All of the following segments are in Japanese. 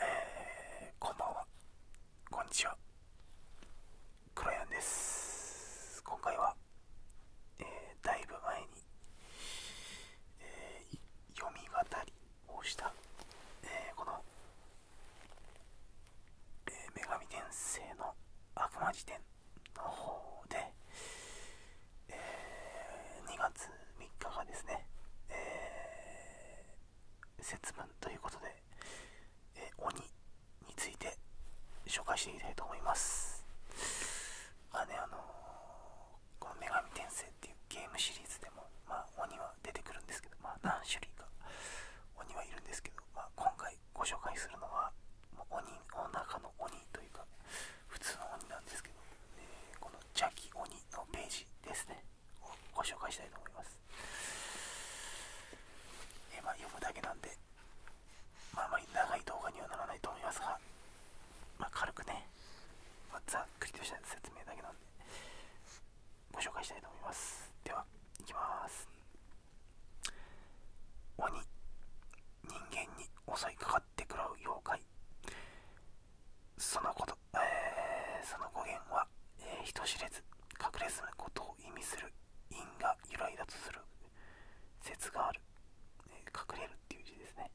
えこんばんはこんにちはクロです今回は、だいぶ前に、読み語りをした、この、女神転生の悪魔辞典の方で、え2月3日がですね、節分ということで、鬼について紹介していきたいと思います。まあね、あのこの女神転生っていうゲームシリーズでも、ま鬼は出てくるんですけど、まあ、何種類か鬼はいるんですけど、まあ、今回ご紹介するのは、鬼の中の鬼というか、普通の鬼なんですけど、えー、この邪気鬼のページですねをご紹介したいと思います、えまあ、読むだけなんで、まあ、あまり長い動画にはならないと思いますが、まあ、軽くね、まざっくりとした説明だけなんでご紹介したいと思いますではいきます鬼人間に襲いかかってくらう妖怪そのこと、その語源は、人知れず隠れ住むことを意味する因が由来だとする説がある、隠れるっていう字ですね、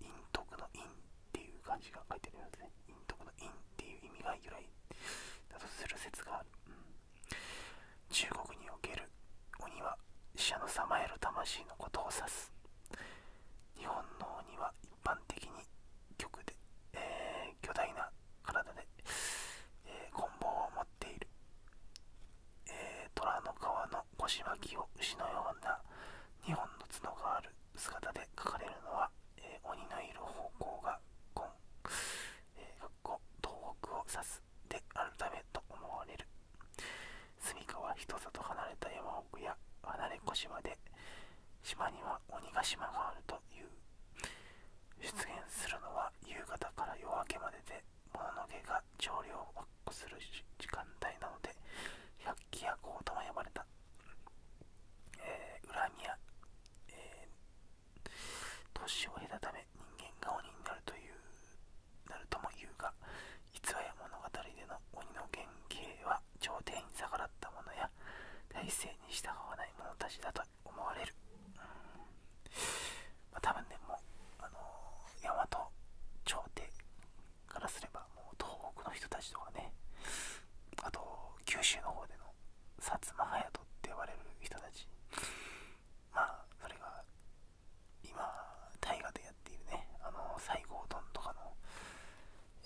陰徳の因っていう漢字が書いてありますね陰徳の因っていう意味が由来だとする説がある、中国における鬼は死者のさまよる魂のことを指す日本の鬼は一般的に極で、え巨大な体で、えー、棍棒を持っている、え虎の皮の腰巻きを牛のような2本の角がある姿で描かれるのは、え鬼のいる方向が根、え東北を指すスであるためと思われる住処は人里離れた山奥や離れ小島で島には鬼ヶ島があるという出現するのは夕方から夜明けまでで物の毛が調量を確保する時間帯なので百鬼夜行とも呼ばれた、え恨みや、年を経たため人間が鬼になるというなるとも言うが逸話や物語での鬼の原型は朝廷に逆らったものや体制に従わない者たちだと思われるうん、ま多分ねもうあのー、大和朝廷からすればもう東北の人たちとかねあと九州の方での薩摩隼人って呼ばれる人たちまあそれが今、大河でやっているね、あの、西郷どんとかの、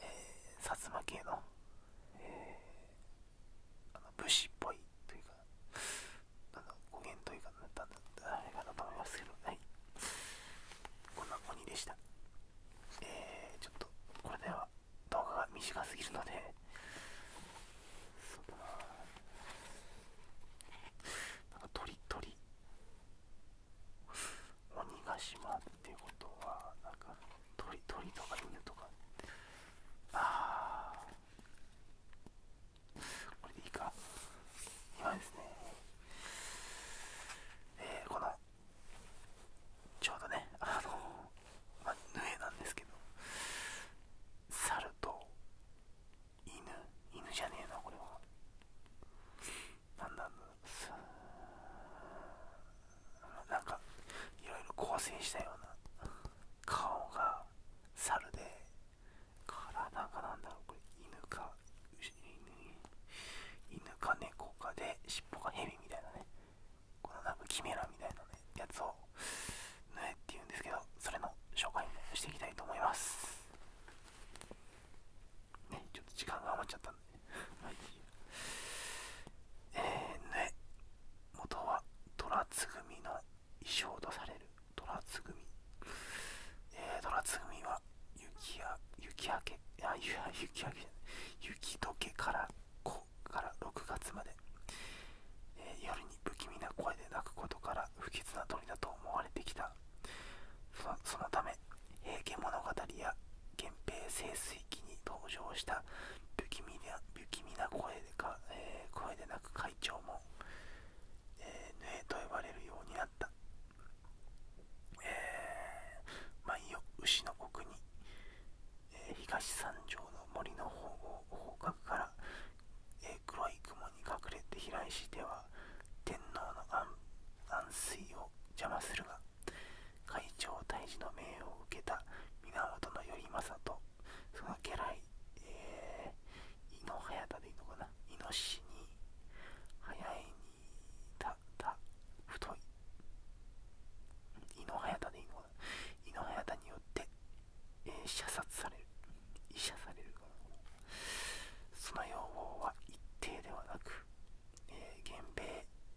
え薩摩系の、あの武士っぽいというか、なん語源というか、何だったあれかなと思いますけど、はい。こんな鬼でした。えちょっと、これでは動画が短すぎるので、そうだななんか鳥鳥鬼ヶ島っていうことはなんか鳥鳥とか犬とかああこれでいいか今ですねえー、このちょうどねあのまあ、ヌエなんですけど猿と犬犬じゃねえなこれはなだすなんかいろいろ構成したような顔が猿で体がなんだろうこれ犬か犬か猫かで尻尾が蛇みたいなねこのなんかキメラみたいなねやつを縫えっていうんですけどそれの紹介もしていきたいと思いますねちょっと時間が余っちゃったんではえ縫え元は虎つ組の衣装とされる虎つ組えー、虎つ組は雪や雪明けいや雪明けじゃない雪解けから5から6月までえ夜に不気味な声で泣くことから不吉な鳥だと思われてきたそのため平家物語や源平盛水期に登場した不気味な不気味な声でか、え声で鳴く会長も、えー、ヌと呼ばれるようになった、えー、舞を牛の奥に、え東三条の森の方角からえ黒い雲に隠れて平石では天皇の安安水を邪魔するが会長退治の命を受けた源頼政とその家来、えー、井の早田でいいのかな井の氏に早いにたた太い井の早田でいいのかな井の早田によってえ射殺される、医者されるその要望は一定ではなく、源平、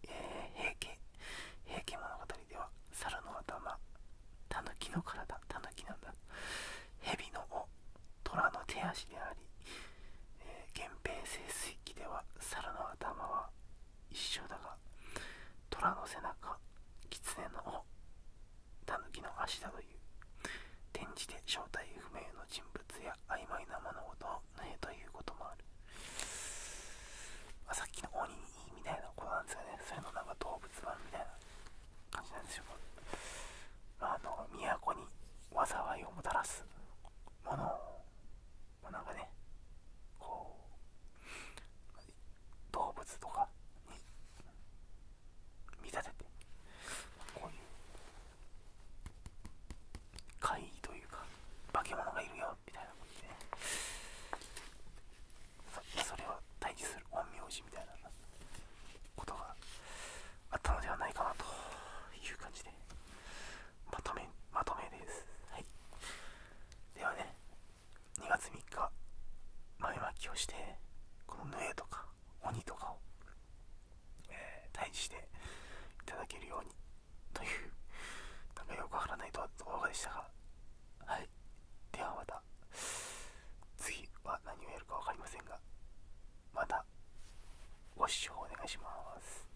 平家、平家物語では、猿の頭、狸の体、狸なんだ、蛇の尾、虎の手足であり、源平清水期では、猿の頭は一緒だが虎の背中狐の尾狸の足だという転じて正体不明の人物や曖昧な物事を縫えということもある、あ、さっきの鬼みたいなことなんですよねそれのなんか動物版みたいな感じなんですよ、あ、の都に災いをもたらすものを、まなんかねこう動物とかに見立ててこういう怪異というか化け物がいるよみたいなことで、ね、それを退治する陰陽師みたいなことがあったのではないかなという感じでまとめまとめです、はい、ではね2月3日前まきをしてこのぬえとか鬼とかを、退治していただけるようにというなんかよくわからないと動画でしたがはいではまた次は何をやるか分かりませんがまたご視聴お願いします